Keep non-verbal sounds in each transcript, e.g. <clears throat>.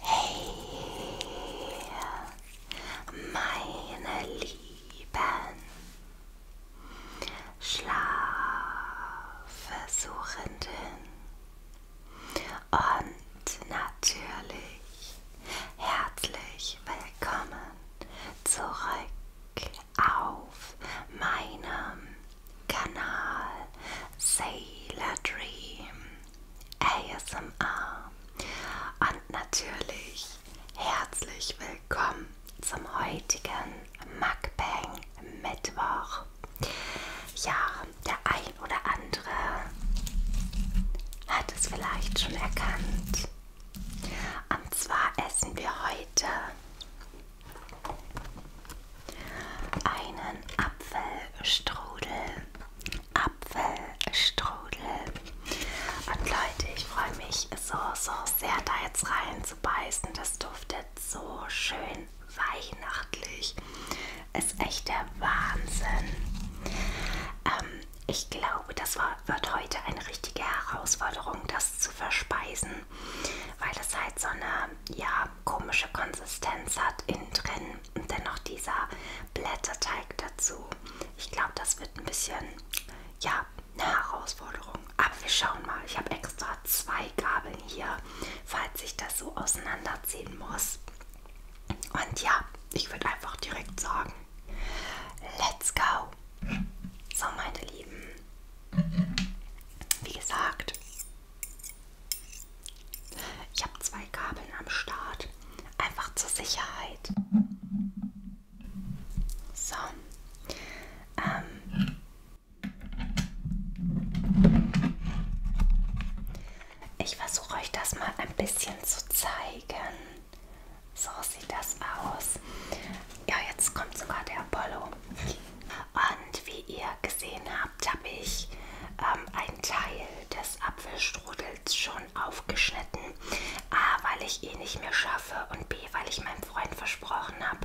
Hey, meine Lieben, Schlafversuchenden und natürlich herzlich willkommen zurück auf meinem Kanal Sailor Dream ASMR und natürlich herzlich willkommen zum heutigen Mukbang Mittwoch. Ja, der ein oder andere hat es vielleicht schon erkannt. Und zwar essen wir heute einen Apfelstrudel. Apfelstrudel. Und Leute, ich freue mich so, so sehr, da jetzt rein zu beißen. Das duftet so schön weihnachtlich. Ist echt der Wahnsinn. Ähm, ich glaube, das war, wird heute eine richtige Herausforderung, das zu verspeisen, weil das halt so eine ja, komische Konsistenz hat innen drin und dann noch dieser Blätterteig dazu. Ich glaube, das wird ein bisschen ja, eine Herausforderung. Aber wir schauen mal. Ich habe extra zwei Gabeln hier, falls ich das so auseinanderziehen muss. Und ja, ich würde einfach direkt sagen, Let's go! So, meine Lieben, wie gesagt, ich habe zwei Kabeln am Start, einfach zur Sicherheit. So, ähm, ich versuche euch das mal ein bisschen zu zeigen. So sieht das aus. Ja, jetzt kommt sogar der Apollo. Und wie ihr gesehen habt, habe ich ähm, einen Teil des Apfelstrudels schon aufgeschnitten. A, weil ich ihn nicht mehr schaffe und B, weil ich meinem Freund versprochen habe,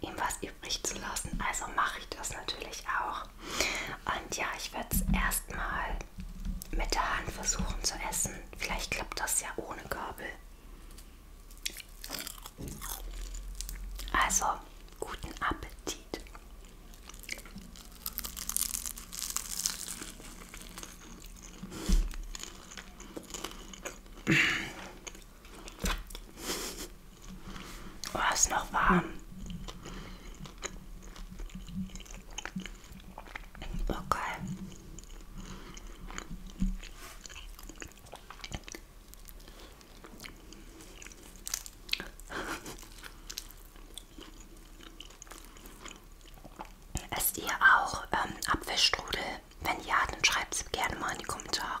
ihm was übrig zu lassen. Also mache ich das natürlich auch. Und ja, ich werde es erstmal mit der Hand versuchen zu essen. Vielleicht klappt das ja ohne Gabel. Also, guten Appetit. Oh, ist noch warm. Okay. <laughs> Esst ihr auch ähm, Apfelstrudel? Wenn ja, dann schreibt es gerne mal in die Kommentare.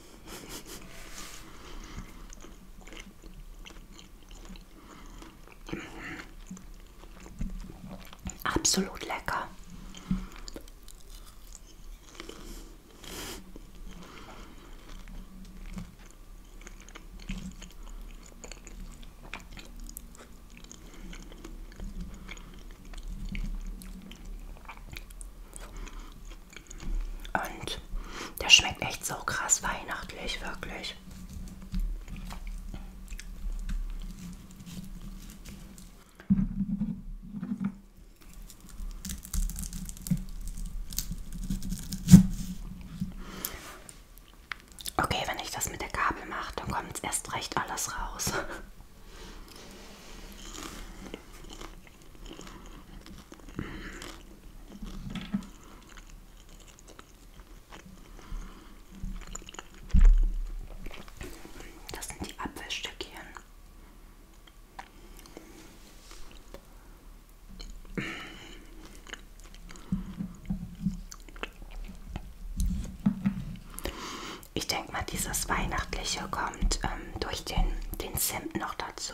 Absolut lecker. Und der schmeckt echt so krass weihnachtlich, wirklich. Okay, wenn ich das mit der Gabel mache, dann kommt erst recht alles raus. Das sind die Apfelstückchen. Ich denke mal, dieses Weihnachtliche kommt ähm, durch den, den Zimt noch dazu.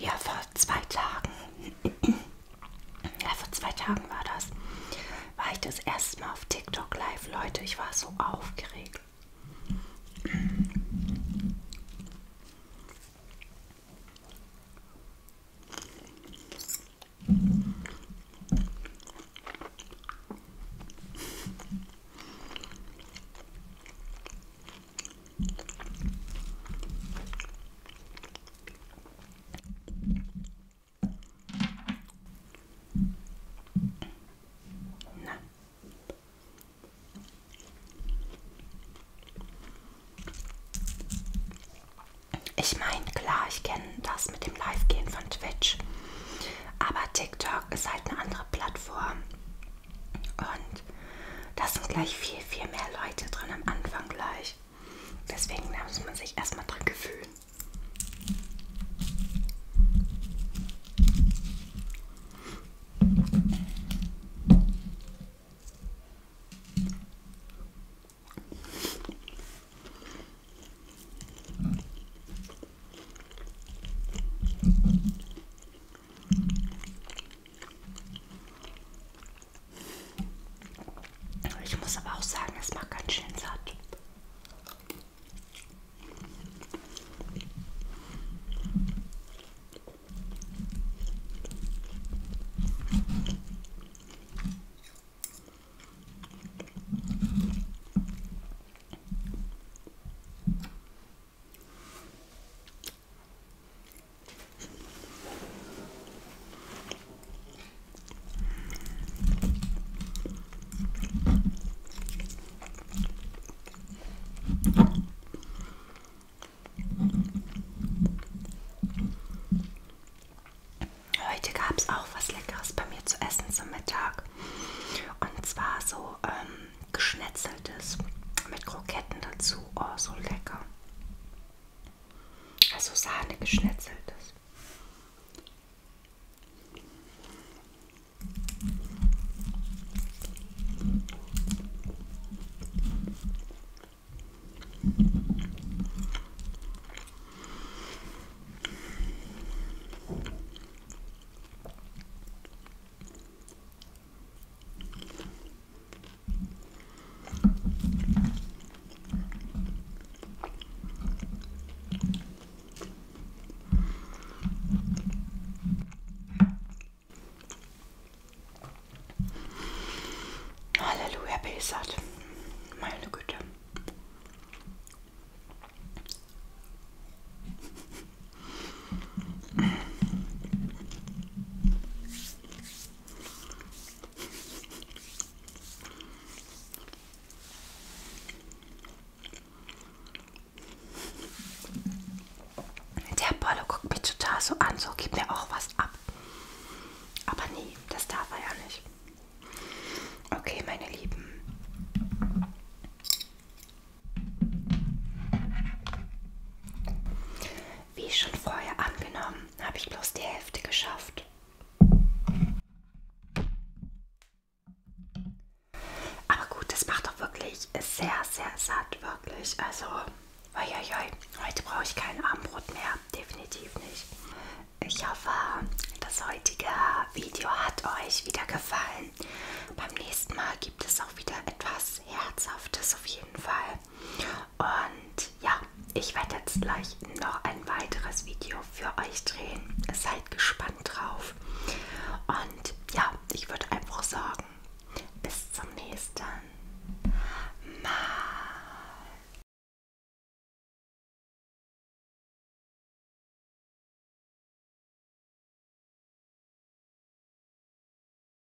Ja, vor zwei Tagen. <clears throat> Ja, vor zwei Tagen war das war ich das erste Mal auf TikTok live. Leute, ich war so aufgeregt. Na. Ich meine, klar, ich kenne das mit dem Live-Gehen von Twitch, aber TikTok ist halt eine andere Plattform und da sind gleich viel, viel mehr Leute drin am Anfang gleich. Deswegen muss man sich erstmal dran gewöhnen. Ich muss aber auch sagen, es macht ganz schön satt. Heute gab es auch was Leckeres bei mir zu essen zum Mittag. Und zwar so ähm, geschnetzeltes mit Kroketten dazu. Oh, so lecker. Also Sahne geschnetzeltes. Halleluja, Besat. Meine Güte. Der Bolle guckt mich total so an, so gibt mir auch was ab. Aber nee, das darf er ja nicht. Okay, meine Lieben. Wie schon vorher angenommen, habe ich bloß die Hälfte geschafft. Aber gut, das macht doch wirklich sehr, sehr satt, wirklich. Also, uiuiui, heute brauche ich kein Abendbrot mehr, definitiv nicht. Ich hoffe, das heutige Video hat euch wieder gefallen. Beim nächsten Mal gibt es auch wieder etwas Herzhaftes auf jeden Fall. Und ja, ich werde jetzt gleich noch ein weiteres Video für euch drehen. Seid gespannt drauf. Und ja, ich würde einfach sagen, bis zum nächsten Mal.